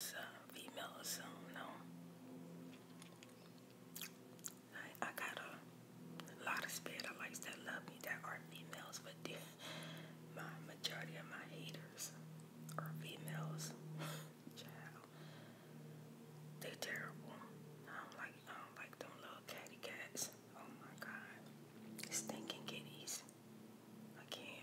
It's a female Zoom, no. I, got a lot of spirit of likes that love me that are females, but the, my majority of my haters are females. They're terrible. I don't like I don't like them little catty cats. Oh my god, stinking kitties. I can't.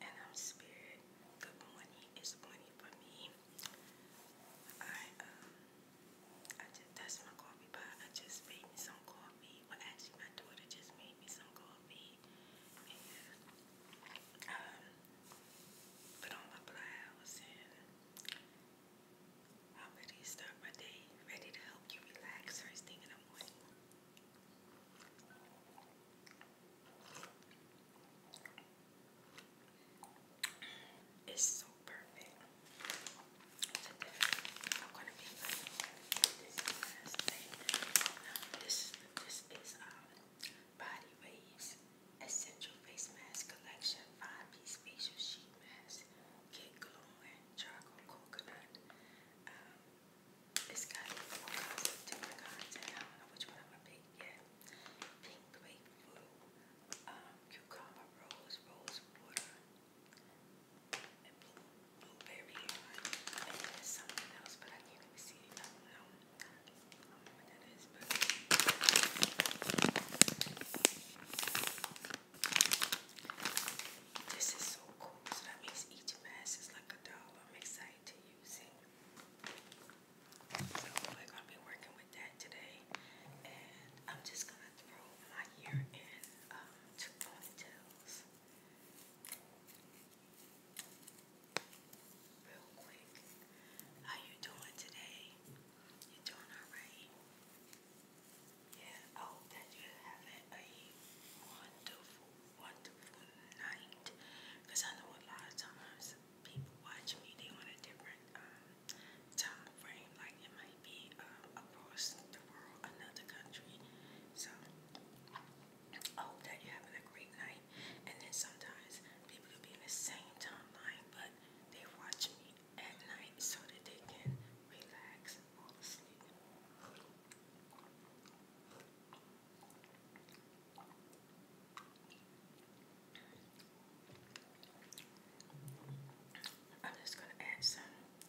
and I'm spirit. Good morning is morning for me. I um I just that's my coffee pot. I just made me some coffee. Well actually my daughter just made me some coffee um, put on my blouse and I'm ready to start my day, ready to help you relax first thing in the morning. It's so perfect. this is um, Body Waves Essential Face Mask Collection Five Piece Facial Sheet Mask. Get glowing charcoal coconut. Um, it's got four kinds of different I know which I'm gonna pick yeah. Pink grapefruit, um, cucumber rose, rose water, and blue, blueberry. And something else, but I can't even see it. I don't know. I don't know what that is, This is so cool. So that means each mask is like a dollar. I'm excited to use it. So we're gonna be working with that today, and I'm just gonna throw my year-end um, ponytails real quick. How you doing today? You doing all right? Yeah. I hope that you're having a wonderful, wonderful night. Cause I know a lot of times people watch media on a different um, time frame. Like it might be um, across the world, another country. So I hope you're having a great night. And then sometimes people could be in the same timeline, but they watch me at night so that they can relax and fall asleep. I'm just gonna add some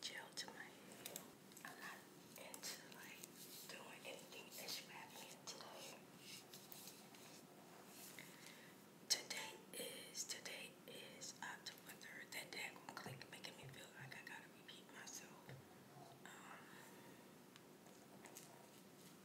chill to my hair. I'm not into like doing anything extravagant today. Today is today is October third. That daggone click making me feel like I gotta repeat myself. Um,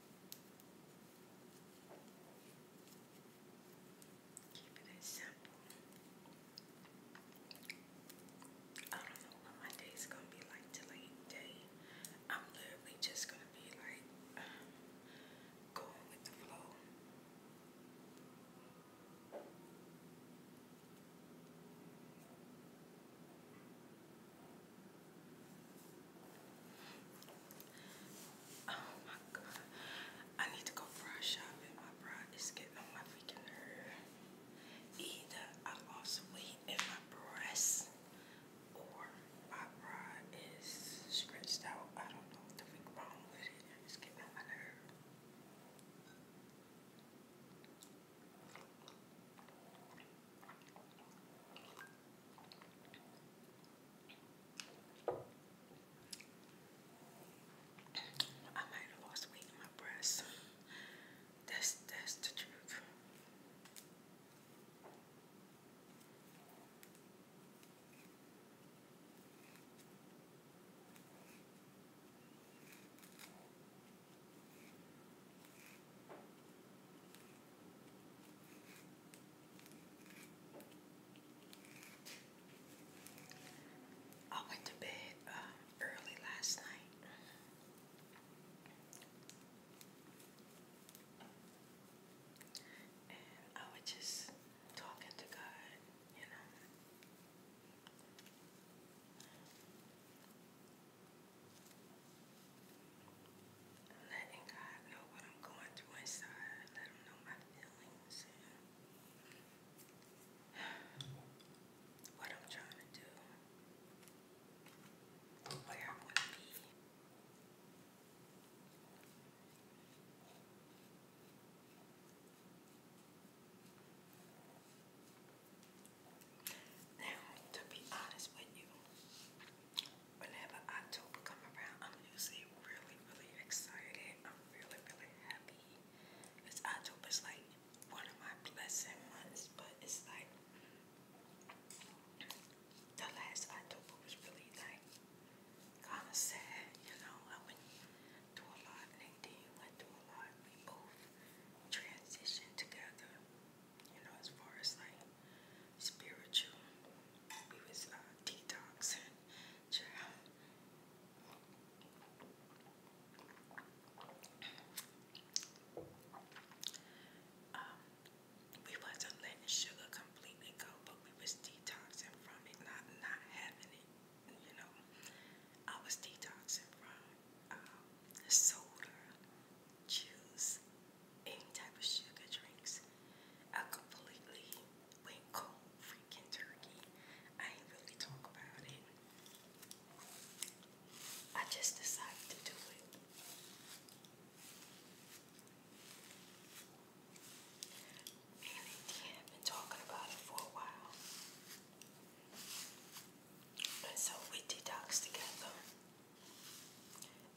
Keep it I don't know what my day's gonna be like till I am literally just gonna be like um, with the flow. Oh my god. I need to go bra shopping. My bra is getting on my freaking nerves. Either I lost weight in my breasts or my bra is stretched out. I don't know what the freak wrong with it. It's getting on my nerve. I might have lost weight in my breast. That's that's the truth. I went to bed uh, early last night. And I was just talking to God, you know. Letting God know what I'm going through inside. Let him know my feelings and what I'm trying to do. Where I want to be. Now, to be honest with you, whenever October come around, I'm usually really, really excited. I'm really, really happy. Because October's like one of my blessing months, but it's like the last October was really like kind of sad, you know. I went through a lot, and then you went through a lot. We both transitioned together you know, as far as like spiritual. We was uh, detoxing, um, we wasn't letting sugar completely go, but we was detoxing from it, not not having it. You know, I was detoxing from um, soda, juice, any type of sugar drinks. I completely went cold freaking turkey. I ain't really talk about it. I just decided to do it. And indeed, have been talking about it for a while. And so we detoxed together.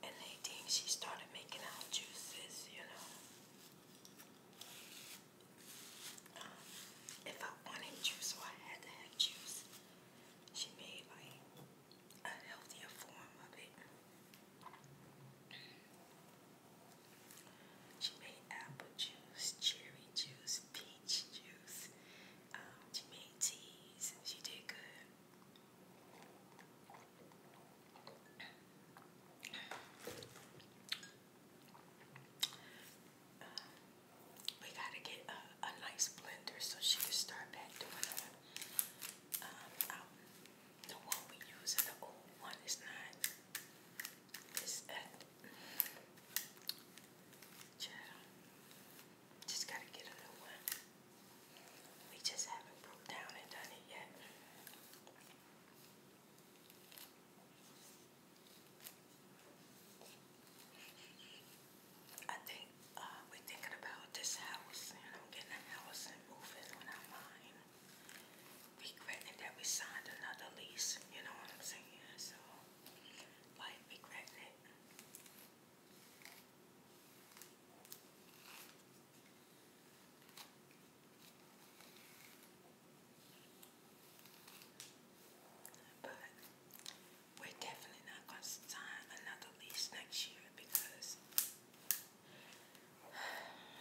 And they she started making out juices, you know. Um, if I wanted juice or I had to have juice, she made like a healthier form of it. She made apple juice, cherry juice, peach juice. Um, she made teas. She did good we gotta get a, nice blender so she can start back doing her. Um, the one we use in the old one is not. It's uh, at. Just gotta get a new one. We just haven't broke down and done it yet. I think uh, we're thinking about this house, you getting a house and moving on our mind. Regretting that we signed another lease, you know what I'm saying? So, like, regretting but we're definitely not going to sign another lease next year because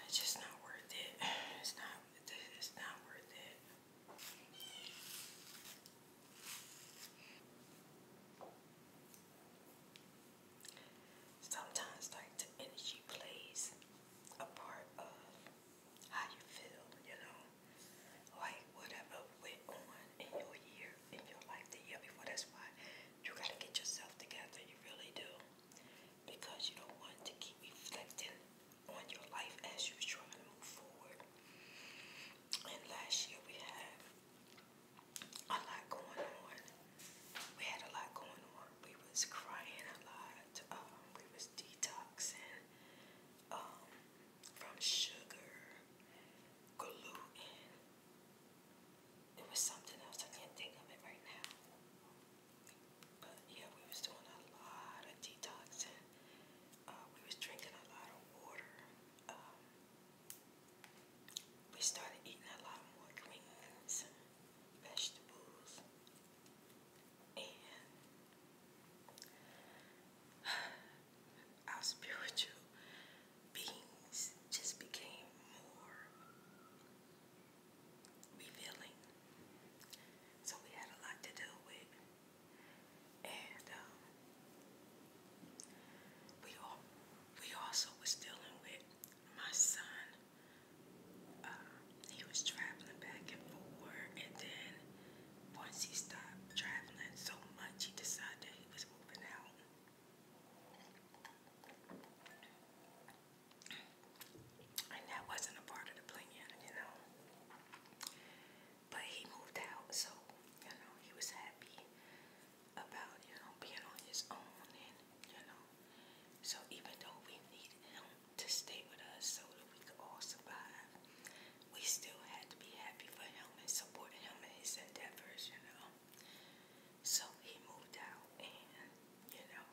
it's just not worth it. It's not. It's not worth it. Sometimes, like the energy plays a part of how you feel, you know, like whatever went on in your year, in your life, the year before. That's why you gotta get yourself together, you really do, because you don't want to keep reflecting on your life as you're to move forward. And last year we had a lot going on. We had a lot going on. We was crying a lot. Um, we was detoxing um, from sugar, gluten. It was something else. I can't think of it right now. But yeah, we was doing a lot of detoxing. Uh, we was drinking a lot of water. Um, we started eating a lot more greens, vegetables, and our spiritual beings just became more revealing. So we had a lot to deal with and um, we also was dealing with my son. Uh, he was traveling back and forth, and then once he stopped traveling so much, he decided that he was moving out. And that wasn't a part of the plan, you know but he moved out, so you know he was happy about you know being on his own, and you know, so even though we needed him to stay with us so that we could all survive, we still had to be happy for him and support him in his endeavors, you know. So he moved out, and you know,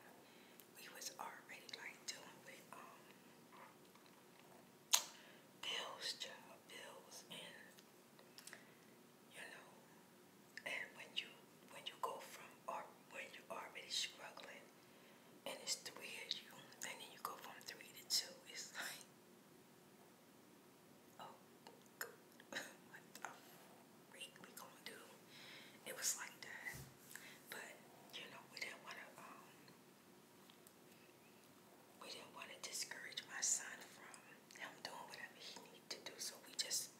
we was already like doing with um bills, child, bills, and you know, and when you when you go from or when you already struggling, and it's three of you, and then you go from three to two, it's like, oh, what the freak we gonna do? It was like that, but you know, we didn't wanna um we didn't want to discourage my son from him doing whatever he needed to do, so we just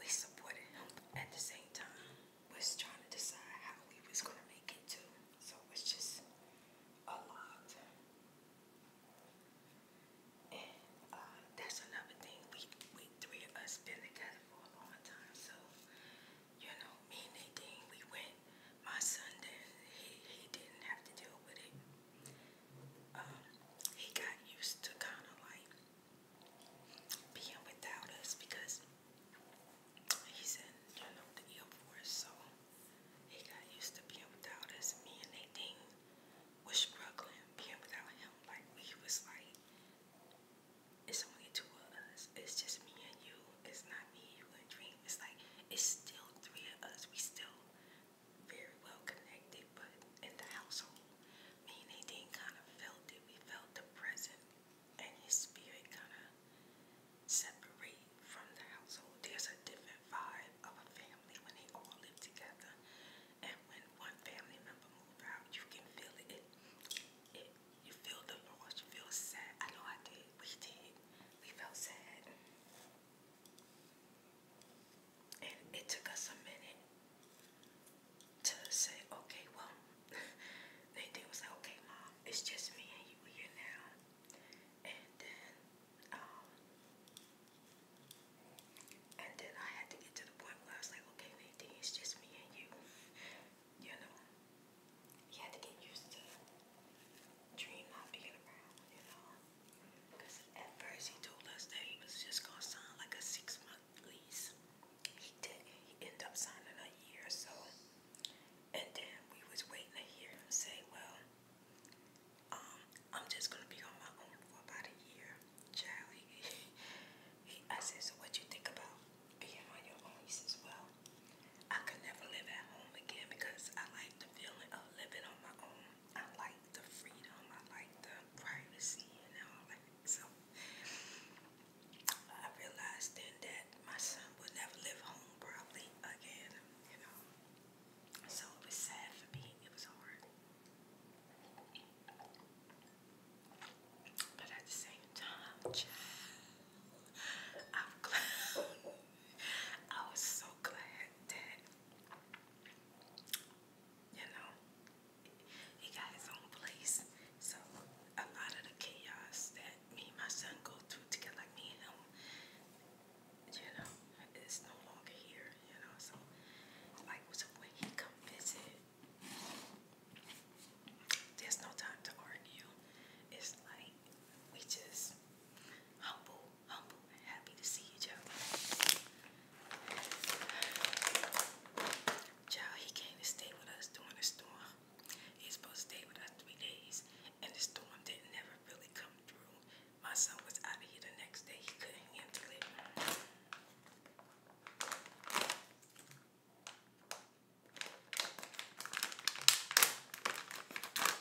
we supported him at the same time. Was trying to decide how we was gonna make it too, so it's just a lot. And uh, that's another thing. We we three of us been together for a long time, so you know, me and Nadine, we went. My son did. He he didn't have to deal with it. Um, he got used to kind of like being without us because he's in, you know, the Air Force, so he got used to being without us. Me and Nadine was struggling being without him. Like, we was like, it's only two of us. It's just me and you. It's not me, you, and Dream. It's like, it's still three of us. We still very well connected, but in the household, me and Nadine kind of felt it. We felt the present, and his spirit kind of separate from the household. There's a different vibe of a family when they all live together, and when one family member moves out, you can feel it. It, it you feel the loss. You feel sad. I know I did. We did. We felt sad. And it took us a minute to say, okay, well, they did was like, okay, mom, it's just me and you here now. And then, um, and then I had to get to the point where I was like, okay, Nadine, it's just me and you. You know, you had to get used to Dream not being around, you know. Because at first he told us that he was just going to sign like a six month lease. He did. He ended up signing a year so. And then we was waiting to hear him say, well, um, I'm just going to be on my own for about a year. Child, I said, so what you think about being on your own? He says, well, I can never live at home again because I like feeling of living on my own. I like the freedom. I like the privacy and all So I realized then that my son would never live home probably again, you know. So it was sad for me. It was hard. But at the same time, I'm glad. I was so glad that you know he got his own place. So a lot of the chaos that me and my son go through together, like me and him, you know, it's no longer here. You know, so like so when he come visit, there's no time to argue. It's like we just humble humble and happy to see you, Joe. Child, he came to stay with us during the storm. He's supposed to stay with us three days, and the storm didn't never really come through. My son was out of here the next day. He couldn't handle it.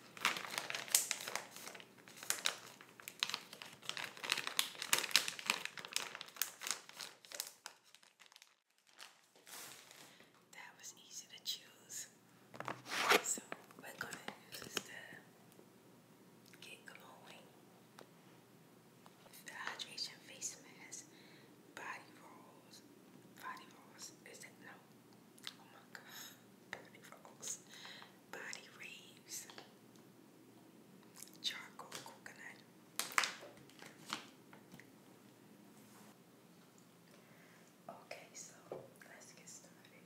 That was easy to choose. So we're gonna use the Get Glowing Hydration Face Mask Body Rolls. Body Rolls, is it no? Oh my god, Bernie Rose, Body Reeves, Charcoal Coconut. Okay, so let's get started.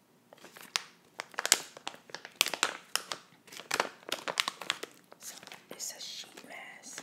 So it's a sheet mask.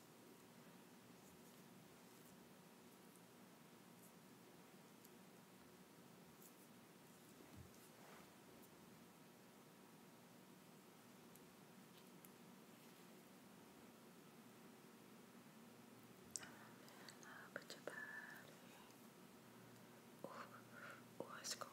Up your body. Oh, oh, it's cold.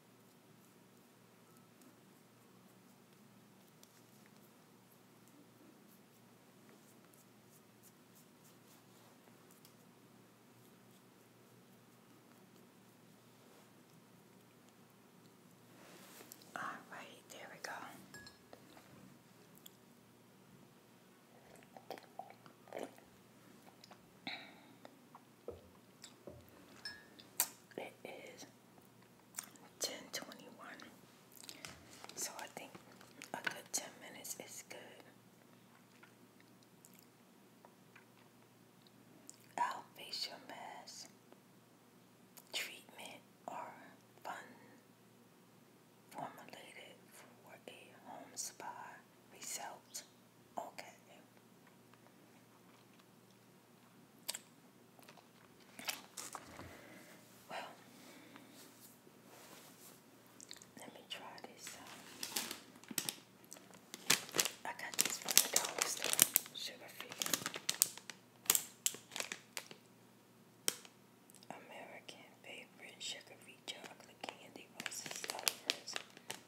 All right, there we go. It is 1021. So I think a good 10 minutes is good. Our facial mask treatment or fun formulated for a home spa result. Okay. Well, let me try this I got this from the dollar store, sugar American favorite sugar free chocolate candy versus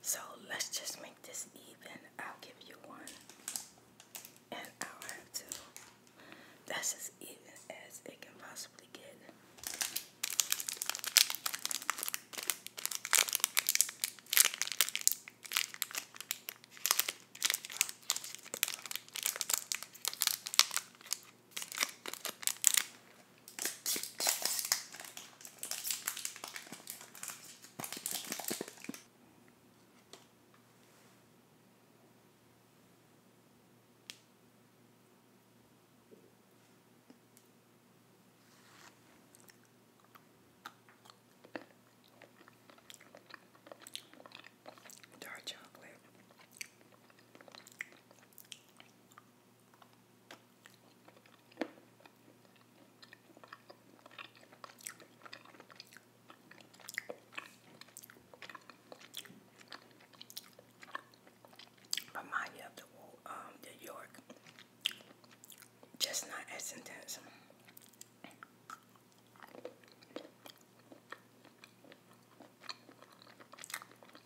So let's just make this even. I'll give you one, and I'll have two. That's as even as it can possibly get. Dark chocolate. Remind you of the um, York, just not as intense.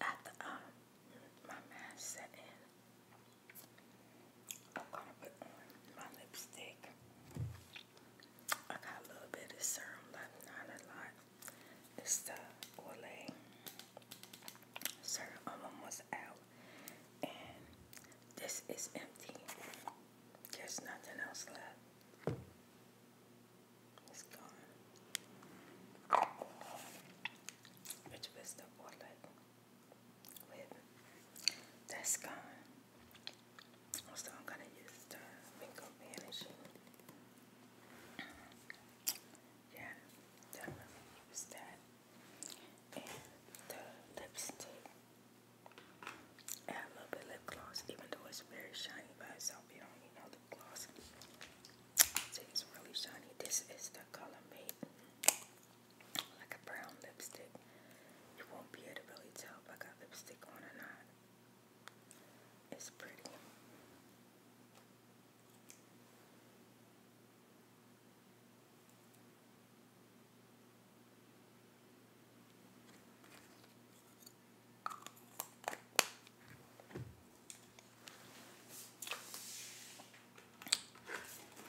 After um, my mask set in, I'm gonna put on my lipstick. I got a little bit of serum left, not a lot. It's Olay syrup. I'm almost out. And this is empty. There's nothing else left. It's gone. Which Olay That's gone. So I'm gonna use the wrinkle vanishing yeah, definitely use And the lipstick. I a little bit lip gloss, even though it's very shiny by itself. You don't need no lip gloss. So it's really shiny. This is the color mate, like a brown lipstick. You won't be able to really tell if I got lipstick on or not. It's pretty.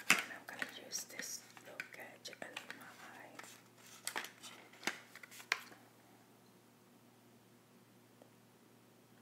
And I'm going to use this little gadget under my eye.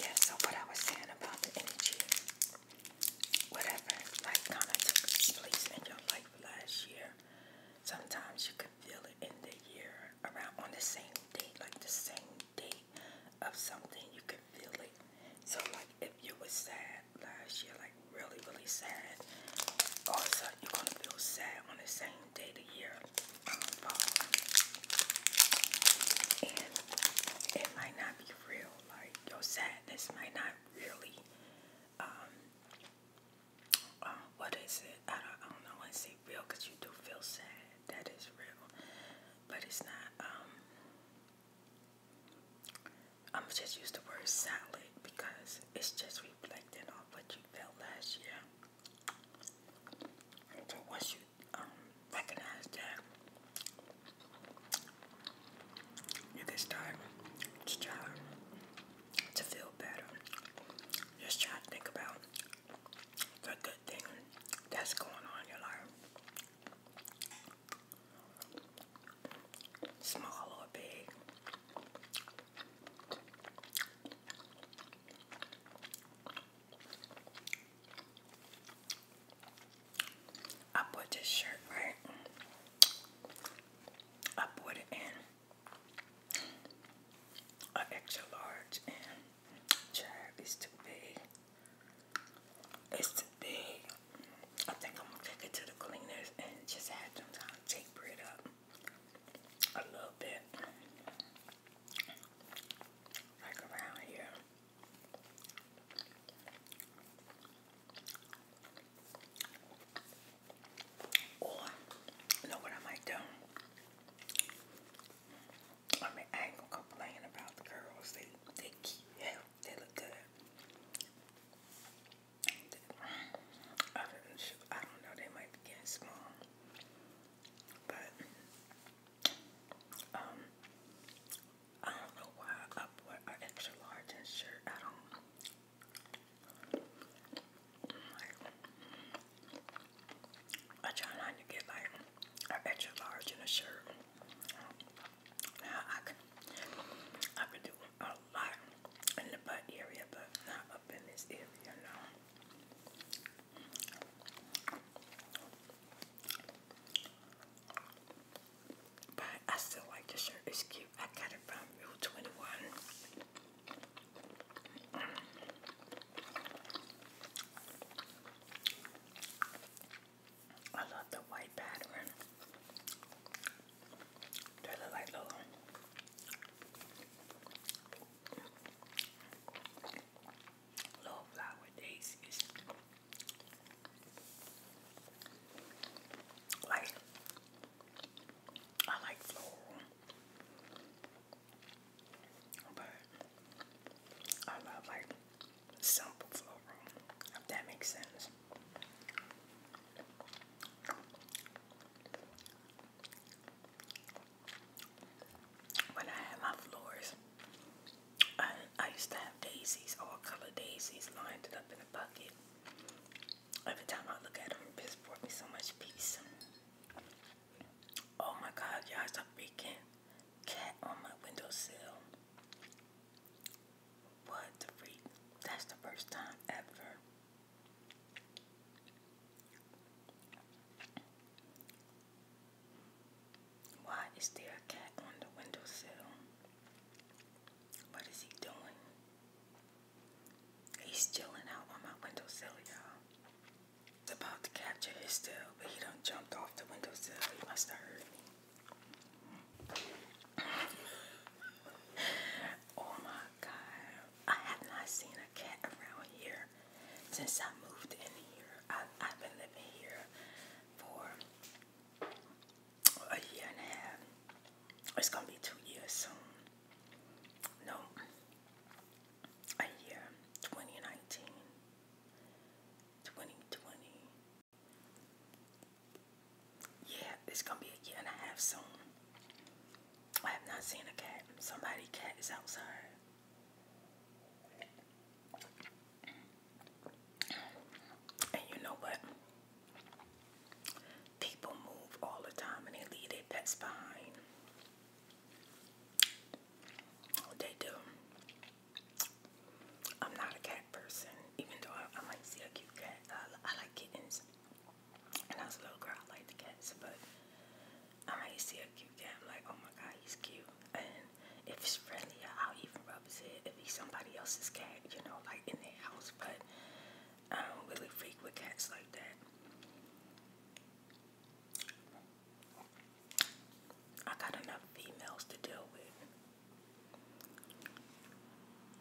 Yeah, so what I was saying about the energy, whatever, like kind of took place in your life last year. Sometimes you could feel it in the year around on the same date, like the same date of something, you could feel it. So like if you were sad last year, like really, really sad, all of a sudden you're gonna feel sad on the same day the year um, And it might not be real, like your sadness might not really um what is it? I don't, know. I say real because you do feel sad. That is real, but it's not. Um, I'm just use the word solid because it's just reflecting on what you felt last year. So once you um, recognize that, you can start to try to feel better. Just try to think about the good thing that's going on in your life. Small or big. I put this shirt right. I put it in an extra large and is too big. It's too big. I think I'm gonna take it to the cleaners and just have them kind of taper it up a little bit. Like around here know what I might do? I ain't gonna complain about the girls. They, they keep, yeah, they look good. I don't, I don't know, they might be getting small. But, um, I don't know why I up an extra large shirt. I don't, I try not to get like an extra large in a shirt. Now I could, I could do a lot in the butt area, but not up in this area, But I still like the shirt. It's cute. I got it from Rule 21. I love the white pattern. They look like little little flower daisies. Like I like floral, but I love like simple floral, if that makes sense. When I had my floors, I, I used to have daisies, all color daisies lined up in a bucket. Every time I look at them, this brought me so much peace. Oh my God, y'all, it's a freaking cat on my windowsill. What the freak? That's the first time ever. Why is there a cat on the windowsill? What is he doing? He's chilling out on my windowsill, y'all. It's about to capture his tail, but he don't jumped off the windowsill. He must have heard oh my god. I have not seen a cat around here since I moved in here. I've been living here for a year and a half. It's gonna be two years soon no, a year, 2019, Yeah, it's gonna be a year and a half soon. I have not seen a cat. Somebody cat is outside. And you know what? People move all the time and they leave their pets behind. They do. I'm not a cat person, even though I, might see a cute cat. I, like kittens. And I was a little girl, I liked the cats, but I might see a cute cat. I'm like, oh my god, he's cute. And if he's friendly, I'll even rub his head. If he's somebody else's cat, you know, like in their house. But I don't really freak with cats like that. I got enough females to deal with.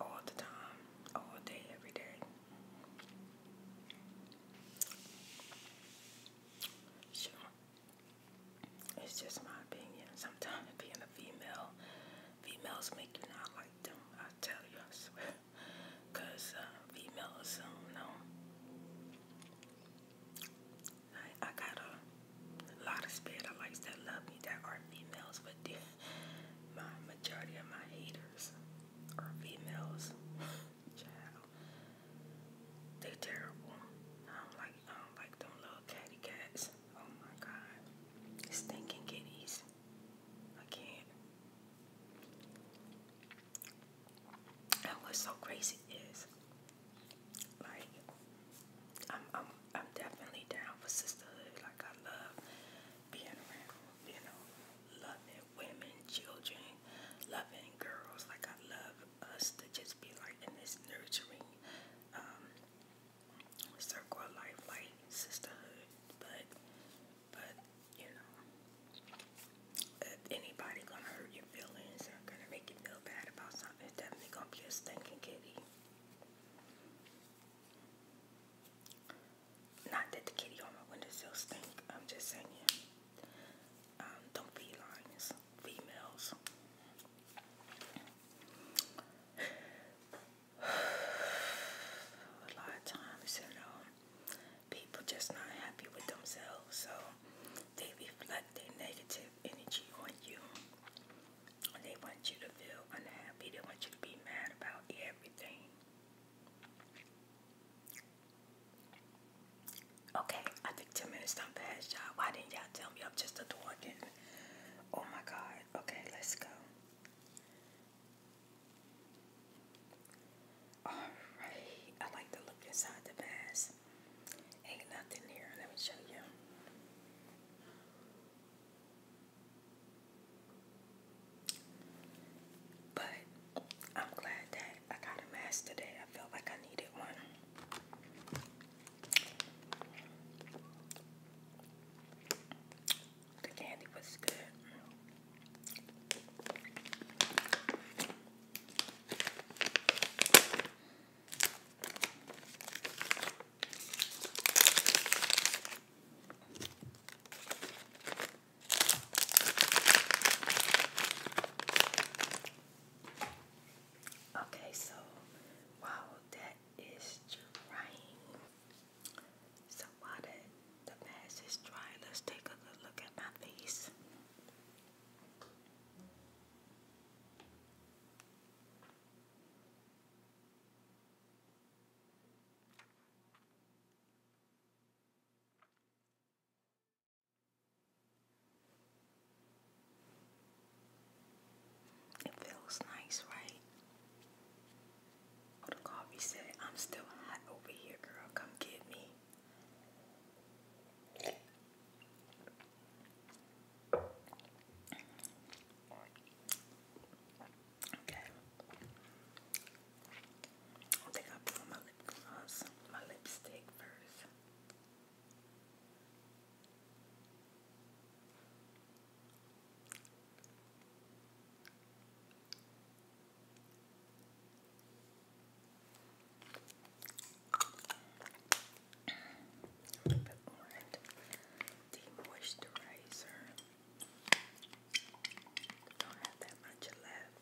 All the time, all day, every day. Sure. It's just my opinion. Sometimes being a female, females make you not like them. I tell you, I swear because uh, female assume no. I, I got a lot of spirit likes that love me that are females, but the majority of my haters are females. They're terrible. I don't like I don't like them little catty cats. Oh my god, stinking kitties. I can't. And what's so crazy is, like, I'm, I'm, I'm definitely down for sisterhood. Like, I love being around, you know, loving women, children, loving girls. Like, I love us to just be like in this nurturing um, circle of life, like sisterhood. But but you know, if anybody gonna hurt your feelings or gonna make you feel bad about something, it's definitely gonna be a stinking kitty. Not that the kitty on my windowsill stink. I'm just saying, um, don't felines, females a lot of times, you know, people just not happy with themselves, so they reflect their negative energy on you. They want you to feel unhappy. They want you to be mad about everything. Okay, I think 10 minutes done past y'all. Why didn't y'all tell me I'm just a talking? Oh my god. Okay, let's go. Alright, I like to look inside the bags. Ain't nothing here. Let me show you. But I'm glad that I got a mask today. I felt like I needed one. The candy was good. Okay, so wow, that is trying. So while the, the mask is dry, let's take a good look at my face. It feels nice, right? coffee said, I'm still hot over here, girl. Come get me. Okay. I think i put on my lip gloss, my lipstick first. A little bit more demoisturizer. Don't have that much left.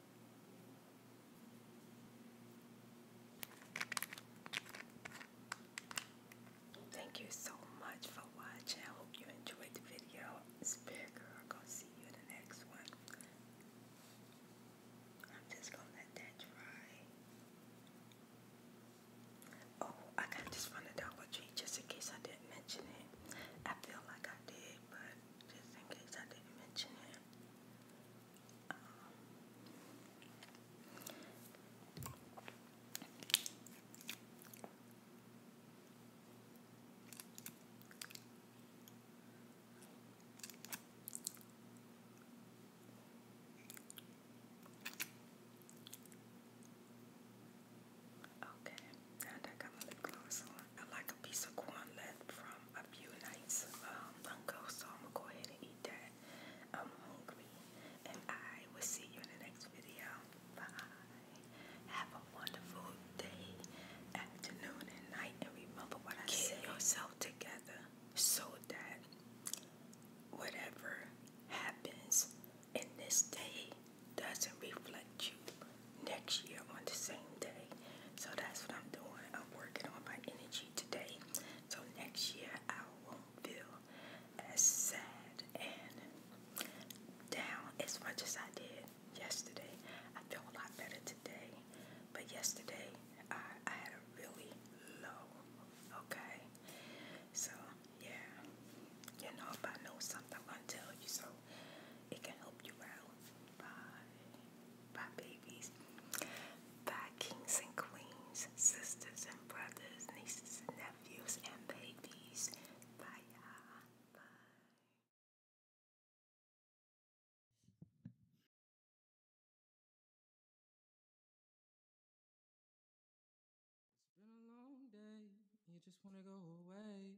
Thank you so much for watching. I hope you enjoyed the video. Spirit girl, gonna see you in the next one. I'm just gonna let that dry. Oh, I kind of just wanted down with you just in case I didn't mention it. I feel like I did, but just in case I didn't mention it. Um, okay, now I got my lip gloss I like a piece of corn left from a few nights um, ago, so I'm gonna go ahead and eat that. I'm um, hungry, and I will see you in the next video. Bye. Have a wonderful day, afternoon, and night, and remember what I Get said. yourself together so that whatever happens in this day doesn't reflect you next year on the same day. So that's what I'm doing. I'm working on my energy today. So next year I won't feel as sad and down as much as I did yesterday. I feel a lot better today. But yesterday I, I had a really low, okay? So yeah, you know if I know something I'm gonna tell you so it can help you out. Bye. Bye, babies. Bye, kings and queens, sisters and brothers, nieces and nephews, and babies. Bye, Bye. It's been a long day, you just want to go away.